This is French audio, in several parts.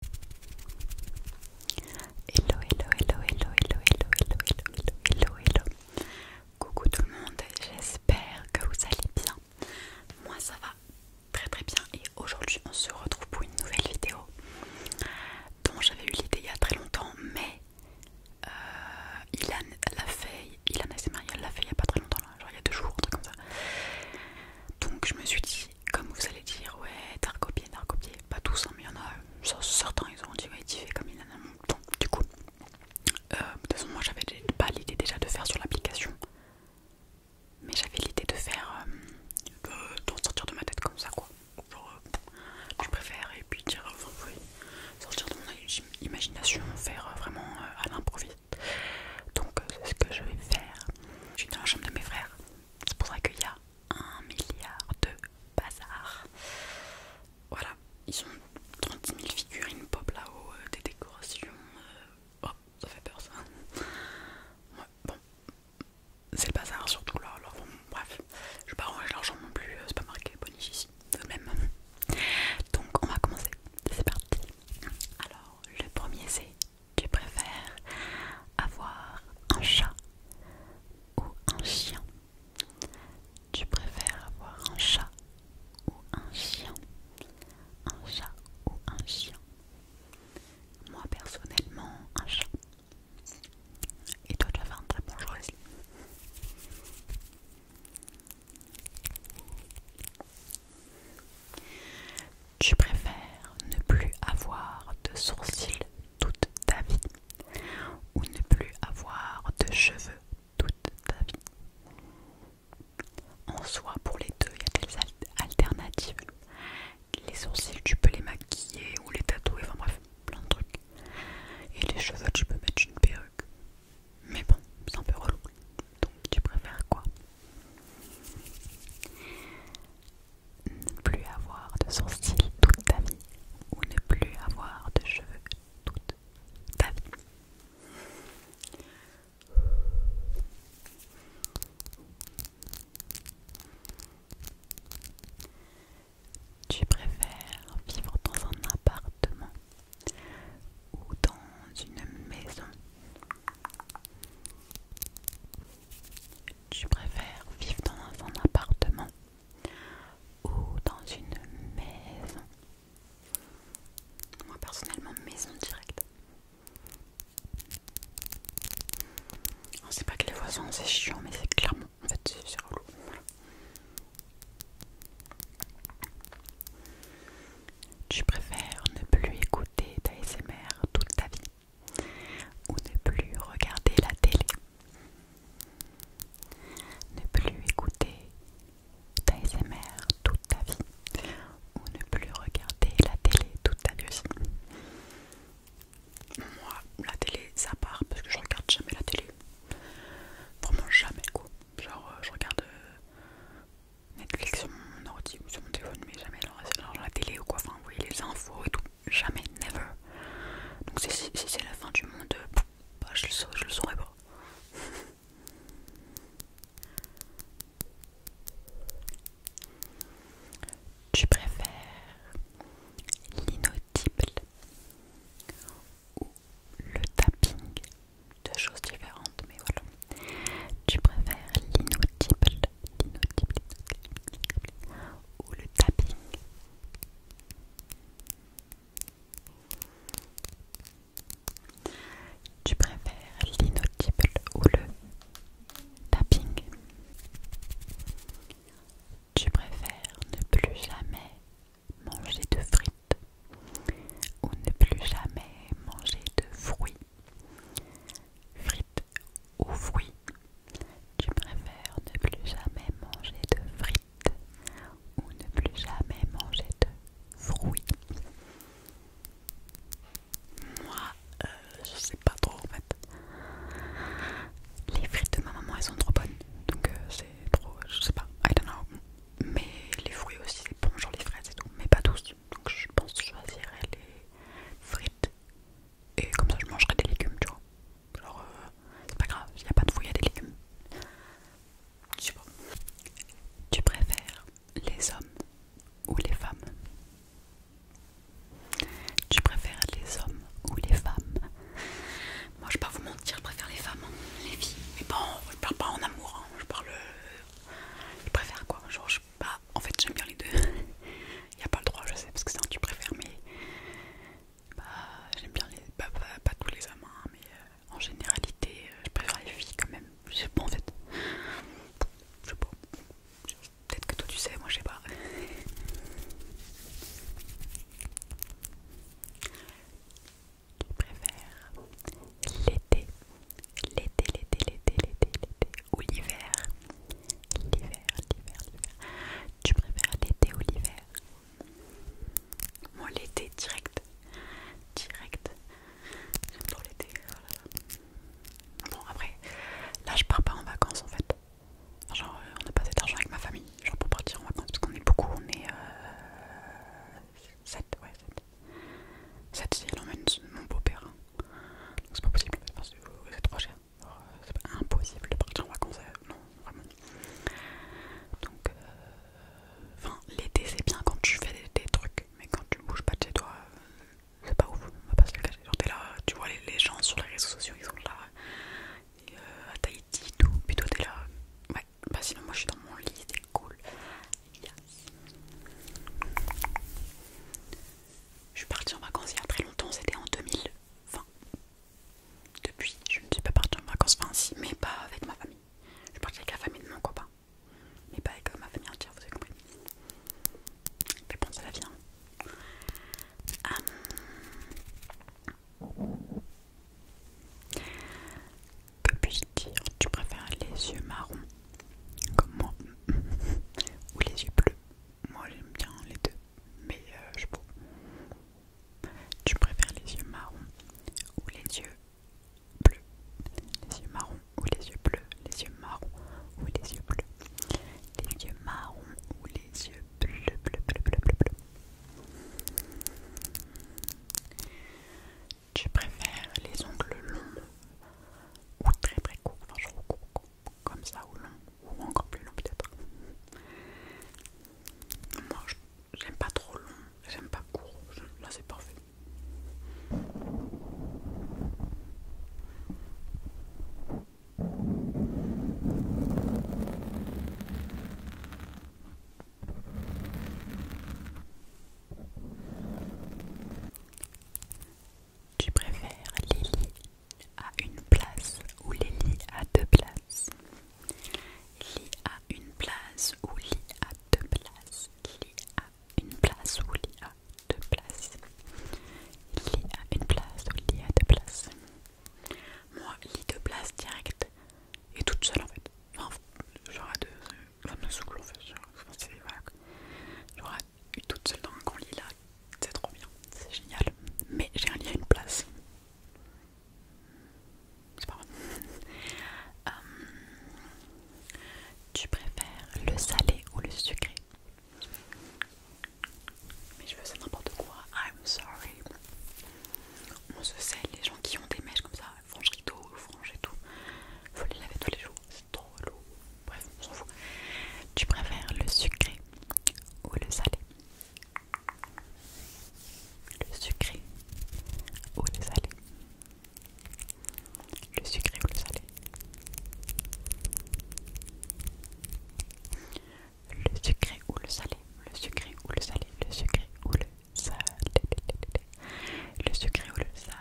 Hello, hello, hello, hello, hello, hello, hello, hello, hello, hello. Coucou tout le monde, j'espère que vous allez bien. Moi ça va très très bien et aujourd'hui on se retrouve pour une nouvelle vidéo dont j'avais eu l'idée il y a très longtemps mais euh, il a l'a fait, Ilan l'a fait il y a pas très longtemps, genre il y a deux jours, un truc comme ça. Donc je me suis dit comme vous allez dire, ouais, t'as copier, t'as copier, Pas tous, hein, mais il y en a certains, ils ont dit, ouais, comme il en a Du coup, euh, de toute façon, moi j'avais pas l'idée déjà de faire sur l'application, mais j'avais l'idée de faire, euh, de sortir de ma tête comme ça, quoi. Genre, euh, je préfère, et puis dire, sortir de mon imagination, faire vraiment à l'improviste. Donc, c'est ce que je vais faire. Je suis dans la chambre de mes frères. C'est pour ça qu'il y a un milliard de bazar. Voilà, ils ont 30 000 figurines pop là-haut, euh, des décorations. Euh, oh, ça fait peur ça. bon, c'est le bazar surtout là. Alors bref, je vais pas ranger l'argent non plus, euh, c'est pas marqué boniches ici, de même. Donc on va commencer, c'est parti. Alors, le premier c'est tu préfères avoir un chat ou un chien Tu préfères avoir un chat ou un chien Un chat ou un chien Moi personnellement, un chat. Et toi tu vas faire un très bon tu préfères ne plus avoir de sourcils toute ta vie ou ne plus avoir de cheveux toute ta vie. En soi, pour les deux, il y a des alternatives. Les sourcils, tu peux les maquiller ou les tatouer, enfin bref, plein de trucs. Et les cheveux, tu peux mettre une perruque. Mais bon, c'est un peu relou. Donc tu préfères quoi ne plus avoir de sourcils toute ta vie ou ne plus avoir de cheveux toute ta vie. Tu préfères vivre dans un appartement ou dans une maison tu préfères vivre dans un appartement ou dans une maison Moi personnellement, maison directe. On sait pas que les voisins c'est chiant, mais c'est clairement en fait c'est relou. Tu préfères ne plus écouter ta SMR toute ta vie ou ne plus regarder la télé, ne plus écouter Ta SMR toute ta vie, ou ne plus regarder la télé toute ta vie. Moi, la télé, ça part parce que je regarde jamais la télé. Vraiment jamais quoi. Genre, euh, je regarde euh, Netflix sur mon ordi ou sur mon téléphone, mais jamais la télé ou quoi, enfin oui les infos et tout, jamais, never. Donc si, c'est la fin du monde, euh, bah, je, le saurais, je le saurais pas. Tu préfères l'inaudible ou le tapping Deux choses différentes, mais voilà. Tu préfères l'inaudible, ou le tapping Tu préfères l'inaudible ou le tapping Tu préfères ne plus jamais manger de frites ou ne plus jamais manger de fruits Frites ou fruits Tu préfères ne plus jamais manger de frites ou ne plus jamais manger de fruits Moi, euh, je sais pas trop en fait. Les frites de ma maman elles sont trop bonnes, donc euh, c'est trop, je sais pas, I don't know. Mais les fruits aussi c'est bon, genre les fraises et tout, mais pas tous. Donc je pense que je choisirais les frites et comme ça je mangerai des légumes, tu vois. Alors euh, c'est pas grave, s'il n'y a pas de fou, il y a des légumes. Tu préfères les hommes ou les femmes Tu préfères les hommes ou les femmes Moi je vais pas vous mentir, je préfère les femmes, hein. les filles. Mais bon, je parle pas en amour, hein. je parle. Euh, je préfère quoi Genre je bah, en fait, j'aime bien les deux. Il n'y a pas le droit, je sais, parce que c'est un tu préfères, mais. Bah, j'aime bien les. Bah, pas tous les amants, hein, mais euh, en généralité, euh, je préfère les filles quand même. Je sais pas en fait. Je sais pas. Peut-être que toi tu sais, moi je sais pas. Tu préfères l'été l'été, l'été, l'été, l'été, l'été ou l'hiver L'hiver, l'hiver, l'hiver. Tu préfères l'été ou l'hiver Moi, l'été direct. Direct. J'aime trop l'été. Voilà. Bon, après, là, je pars pas en vacances en fait. Genre, euh, on a pas cet argent avec ma famille. Genre, pour partir en vacances, parce qu'on est beaucoup, on est euh, 7, ouais, 7. Cette fille, elle emmène mon beau-père. Donc c'est pas possible, parce que c'est trop cher. Euh, c'est pas impossible de partir en vacances, euh, non, vraiment. Donc, euh, enfin, l'été c'est bien quand tu fais des, trucs, mais quand tu bouges pas de chez toi, c'est pas ouf, on va pas se t'es là, tu vois les, gens sur les réseaux sociaux, ils sont là, à Tahiti, tout, puis toi t'es là. Ouais, bah sinon, moi je suis dans mon lit, c'est cool. Je suis partie en vacances il y a très longtemps, c'était en 2020. Depuis, je ne suis pas partie en vacances, mais pas avec ma famille. Je suis partie avec la famille de mon copain, mais pas avec euh, ma famille entière, vous avez compris. Mais bon, ça la vie. Hein. Hum tu préfères les yeux marrons comme moi ou les yeux bleus Moi j'aime bien les deux, mais euh, je peux. Tu préfères les yeux marrons ou les yeux bleus Les yeux marrons ou les yeux bleus Les yeux marrons ou les yeux bleus Les yeux marrons ou les yeux bleus bleus bleus. Je préfère les ongles longs ou très très courts, enfin trouve courts comme ça ou long ou encore plus long peut-être. Moi j'aime pas trop long, j'aime pas court, là c'est parfait. Tu préfères Lily à une place ou Lily à deux places Lily à une place ou Lily à deux places Lily à une place ou Lily à deux places Lily à une place ou Lily à deux places Moi, lit deux places direct et toute seule en fait. Enfin, genre deux, ça me saoule en fait. Genre, voilà, J'aurais eu toute seule dans un grand lit là, c'est trop bien, c'est génial. Mais j'ai un lit à une place. C'est pas vrai. Hum, tu préfères le salé ou le sucré Mais je veux ça n'importe quoi, I'm sorry. On se sait, les gens qui ont des mèches comme ça, franges tout, franger tout. Faut les laver tous les jours, c'est trop lourd Bref, on s'en fout. Tu préfères le sucré ou le salé Le sucré ou le salé Le sucré ou le salé Le sucré ou le salé Le sucré ou le salé Le sucré ou le le secret ou le sale.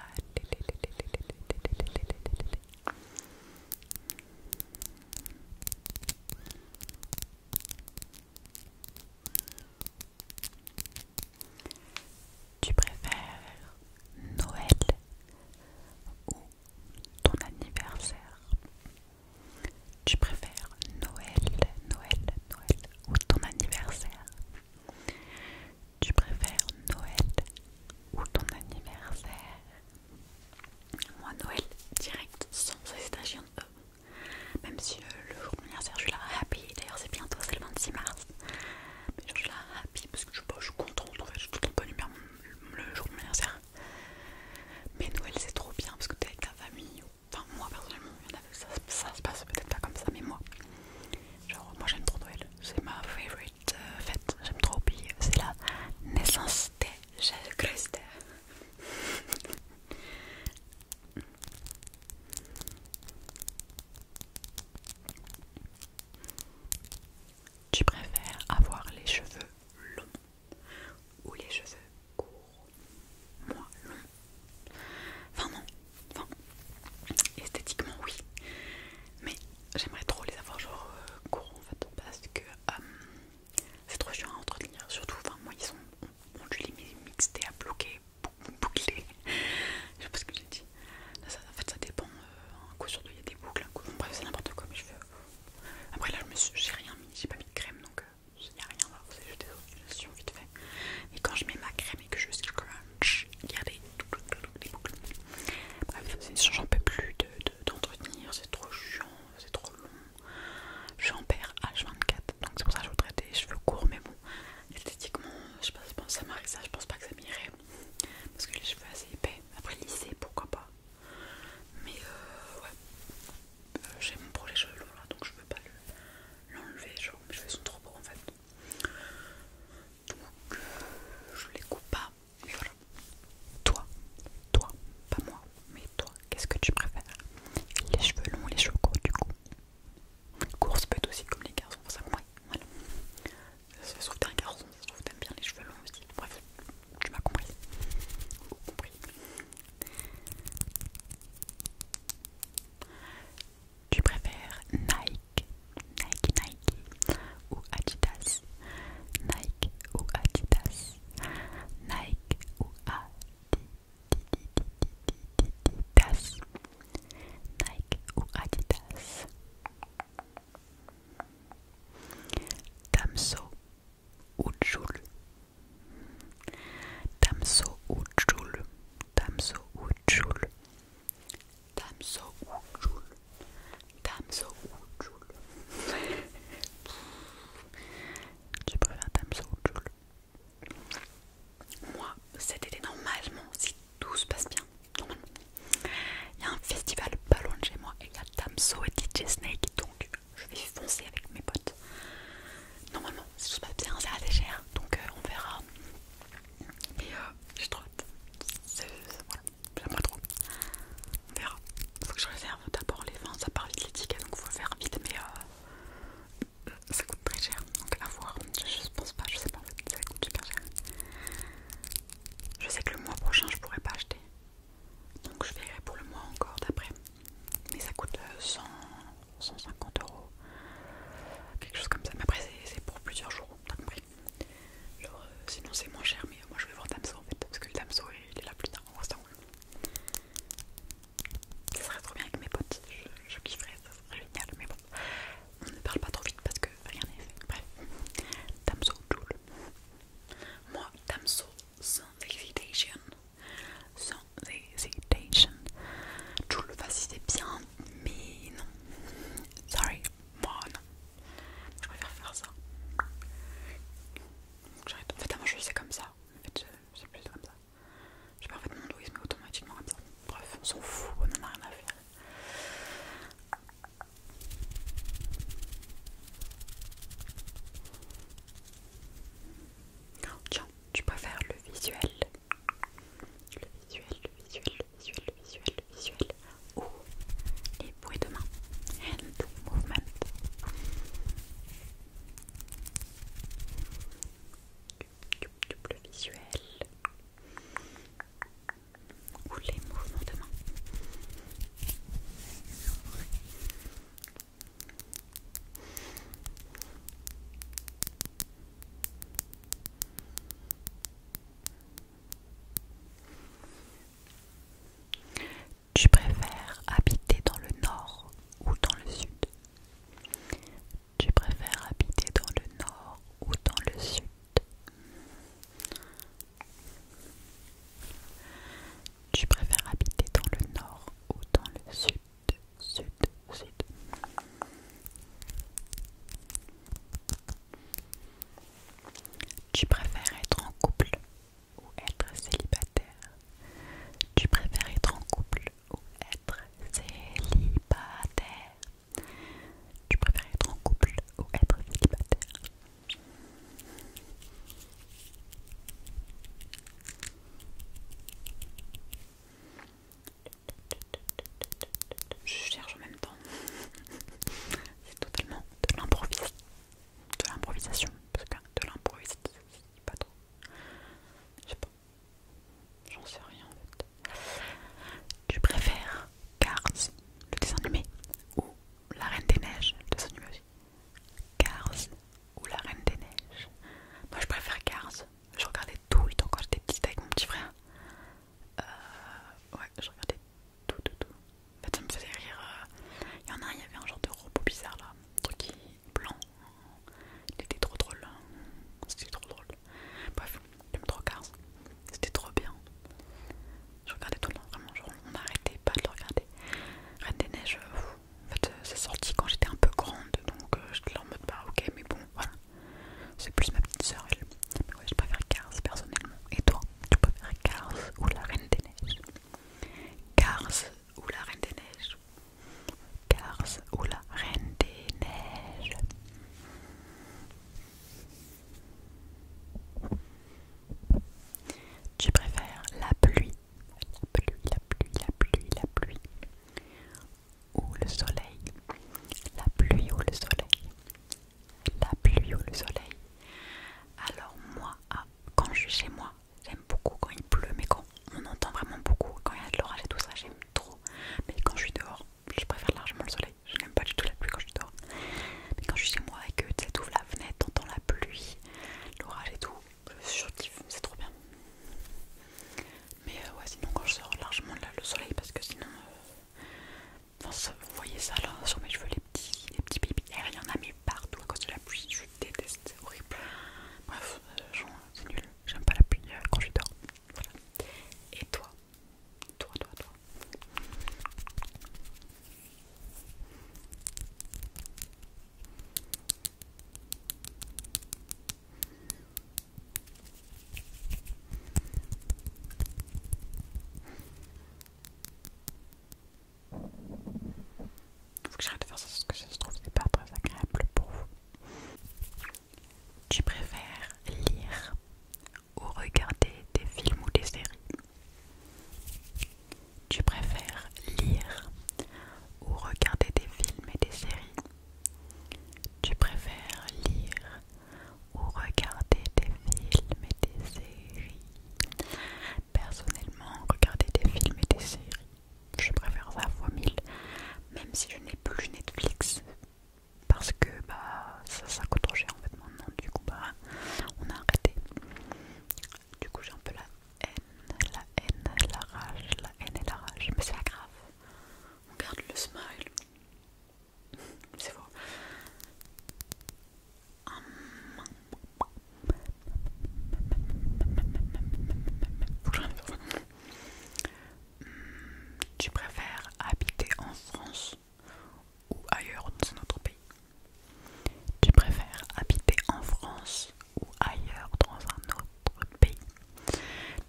Tu préfères Noël ou ton anniversaire Tu préfères Noël, Noël, Noël ou ton anniversaire tu préfères Noël ou ton anniversaire Moi Noël direct sans hésitation euh, Même si euh, le jour de mon anniversaire je suis là happy D'ailleurs c'est bientôt, c'est le 26 mars Mais je suis là happy parce que je, suis contente en fait Je suis tout en bonne humeur le jour de mon anniversaire Mais Noël c'est trop bien parce que t'es avec ta famille Enfin moi personnellement, ça se passe peut-être pas comme ça mais moi Genre, moi j'aime trop Noël, c'est ma favorite euh, fête, j'aime trop, oublier, euh, c'est la naissance de Jésus-Christ. Tu préfères avoir les cheveux longs ou les cheveux courts Moi, longs Enfin non, esthétiquement oui, mais j'aimerais trop les avoir genre euh, courants en fait parce que euh, c'est trop chiant à entretenir. Surtout, enfin moi ils sont, on, les à bloquer, bouclés. je sais pas ce que j'ai dit. en fait ça dépend. en euh, un coup il y a des boucles, enfin bref c'est n'importe quoi. Mais je veux. Après là je me j'ai rien mis, j'ai pas mis de crème donc il n'y a rien là. C'est juste des et quand je mets ma crème et que je crunch, il y a les, boucles. Bref, c'est une chose, j'en peux plus d'entretenir, c'est trop chiant, c'est trop long. Je suis en paire H24, donc c'est pour ça que je voudrais des cheveux courts, mais bon, esthétiquement, je sais pas, ça m'arrive ça, je pense pas que ça m'irait. Parce que les cheveux assez épais, après lissés, pourquoi pas. Mais euh, ouais, euh, j'ai mon projet cheveux longs là, donc je veux pas l'enlever, genre mes cheveux sont trop beaux en fait. Donc, euh, je les coupe pas, mais voilà. Toi, toi, pas moi, mais toi, qu'est-ce que tu préfères Les cheveux longs, les cheveux courts, du coup. Course peut être aussi comme les garçons, ça, ouais, voilà. Ça se trouve, t'es un garçon, ça se trouve, t'aimes bien les cheveux longs aussi. Bref, tu m'as compris. compris tu préfères Nike, Nike, Nike ou Adidas Nike ou Adidas Nike ou Adidas Nike ou Adidas Tamso ou Joule ou Joule Damso ou Jul Tamsou ou Jul Tamsou ou tu préfères Tamsou ou Moi, cet été, normalement, si tout se passe bien, normalement, il y a un festival pas loin de chez moi et il y a Tamsou et DJ Snake, donc je vais foncer avec mes potes. Normalement, si tout se passe bien, c'est assez cher, donc euh, on verra. Mais j'ai trop hâte. Voilà, trop. On verra. Faut que je réserve d'abord les vins, ça part vite les tickets donc faut faire vite. Mais euh, euh, ça coûte très cher donc à voir. Je, ne pense pas, je sais pas en fait, ça coûte super cher. Je sais que le mois prochain je pourrai pas acheter donc je verrai pour le mois encore d'après. Mais ça coûte 100, euh, 150 euros, quelque chose comme ça. Mais après, c'est pour plusieurs jours, t'as compris. Euh, sinon, c'est moins cher, mais moi je vais voir Damso en fait, parce que le Damso il est là plus tard en restant. Ça serait trop bien avec mes potes, je, kifferais, ça serait génial, mais bon, on ne parle pas trop vite parce que rien n'est fait. Bref, Damso, doule. Moi, Damso, sans excitation, c'est patient Je le c'était bien, mais non. Sorry, moi non. Je préfère faire ça. j'arrête. En fait, avant, je faisais comme ça. En fait, je plus comme ça. J'ai pas fait mon douisme mais automatiquement comme ça. Bref, on s'en fout, on en a rien à faire. Tiens, tu préfères le visuel, le visuel, le visuel, le visuel, le visuel, le visuel, ou les bruits de main, hand movement. Le visuel ou les mouvements de main. Tu préfères habiter dans le nord ou dans le sud Tu préfères habiter dans le nord ou dans le sud Tu préfères habiter dans le nord ou dans le sud tu préfères être en couple ou être célibataire Tu préfères être en couple ou être célibataire Tu préfères être en couple ou être célibataire je cherche en même temps. C'est totalement de l'improvisation. De l'improvisation. Parce que de l'improvisation, pas trop. Je sais pas. J'en sais rien en fait. Tu préfères Cars, le dessin animé, ou La Reine des Neiges, le dessin animé aussi Cars ou La Reine des Neiges Moi je préfère Cars je regardais tout, il encore j'étais petite avec mon petit frère. Euh, ouais, je regardais tout, tout, tout. En fait, ça me faisait rire. Euh. Il y en a un, il y avait un genre de robot bizarre là, un truc qui blanc. Il était trop drôle. C'était trop drôle. Bref, j'aime me Cars. C'était trop bien. Je regardais tout le vraiment. on n'arrêtait pas de le regarder. Reine des Neiges, euh, en fait, euh, c'est sorti quand j'étais un peu grande, donc je euh, j'étais là en mode bah ok, mais bon, voilà. C'est plus ma petite soeur, elle. Mais ouais, je préfère Cars personnellement. Et toi, tu préfères Cars ou la Reine des Neiges Cars ou la Reine des Neiges Cars ou la Reine des Neiges tu préfères la pluie, la pluie, la pluie, la pluie, la pluie ou le soleil, la pluie ou le soleil, la pluie ou le soleil. Alors moi, ah, quand je suis chez moi, j'aime beaucoup quand il pleut, mais quand on entend vraiment beaucoup, quand il y a de l'orage et tout ça, j'aime trop. Mais quand je suis dehors, je préfère largement le soleil. Je n'aime pas du tout la pluie quand je suis dehors. Mais quand je suis chez moi et que tu ouvres la fenêtre, t'entends la pluie, l'orage et tout, je c'est trop bien. Mais euh, ouais, sinon, quand je sors largement le soleil, parce que sinon, euh, vous voyez ça là sur mes cheveux, les petits, les petits bébés il y en a mis partout à cause de la pluie. Je déteste, c'est horrible. Bref, euh, c'est nul, j'aime pas la pluie quand je dors. Et toi, toi, toi, toi. Faut que j'arrête de faire ça parce que ça se trouve c'est pas très agréable pour vous. Tu préfères lire ou regarder des films ou des séries Tu préfères lire ou regarder des films et des séries Tu préfères lire ou regarder des films et des séries Personnellement, regarder des films et des séries, je préfère la fois mille, même si je n'ai plus Netflix parce que bah ça, ça coûte trop cher en fait maintenant, du coup bah on a arrêté. Du coup j'ai un peu la la haine, la rage, la haine et la rage. Mais c'est pas grave, on garde le smile. c'est faux. Tu préfères habiter en France ou ailleurs dans un autre pays Tu préfères habiter en France ou ailleurs dans un autre pays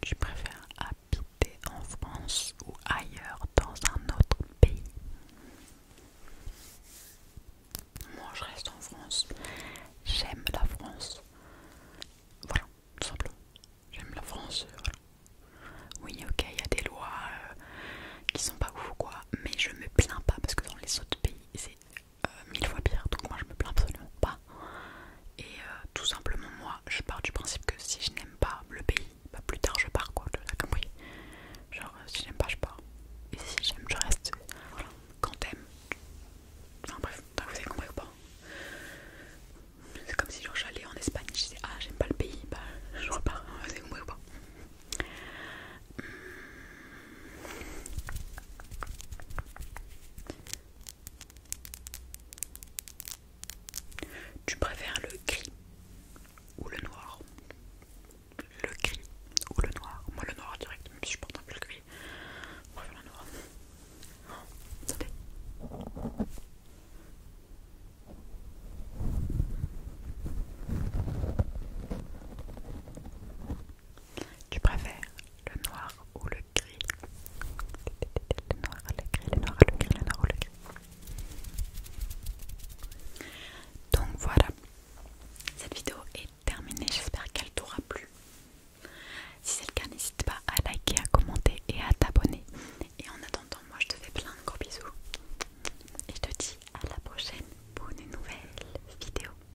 Tu préfères habiter en France ou ailleurs dans un autre pays Moi je reste en France. J'aime la France. Voilà, tout simplement. J'aime la France. Euh, oui, ok, il y a des lois euh, qui sont pas ouf ou quoi, mais je me plains pas parce que dans les autres pays, c'est euh, mille fois pire, donc moi je me plains absolument pas. Et euh, tout simplement, moi je pars du principe que si je n'aime pas le pays, bah plus tard je pars quoi, tu as compris. Genre, euh, si j'aime pas, je pars. Et si j'aime, je reste. Voilà, quand t'aimes. Enfin bref, vous avez compris ou pas C'est comme si genre j'allais en Espagne, je disais ah j'aime pas le pays, bah je repars, vous avez compris ou pas hmm. Tu préfères le gris ou le noir Le gris ou le noir Moi le noir direct, même si je porte un peu le gris. Préfère le noir. Oh, tu préfères le noir ou le gris Le noir, le gris, le noir, le gris, le noir ou le gris. Donc voilà, cette vidéo est terminée. J'espère qu'elle t'aura plu. Si c'est le cas, n'hésite pas à liker, à commenter et à t'abonner. Et en attendant, moi je te fais plein de gros bisous. Et je te dis à la prochaine pour une nouvelle vidéo.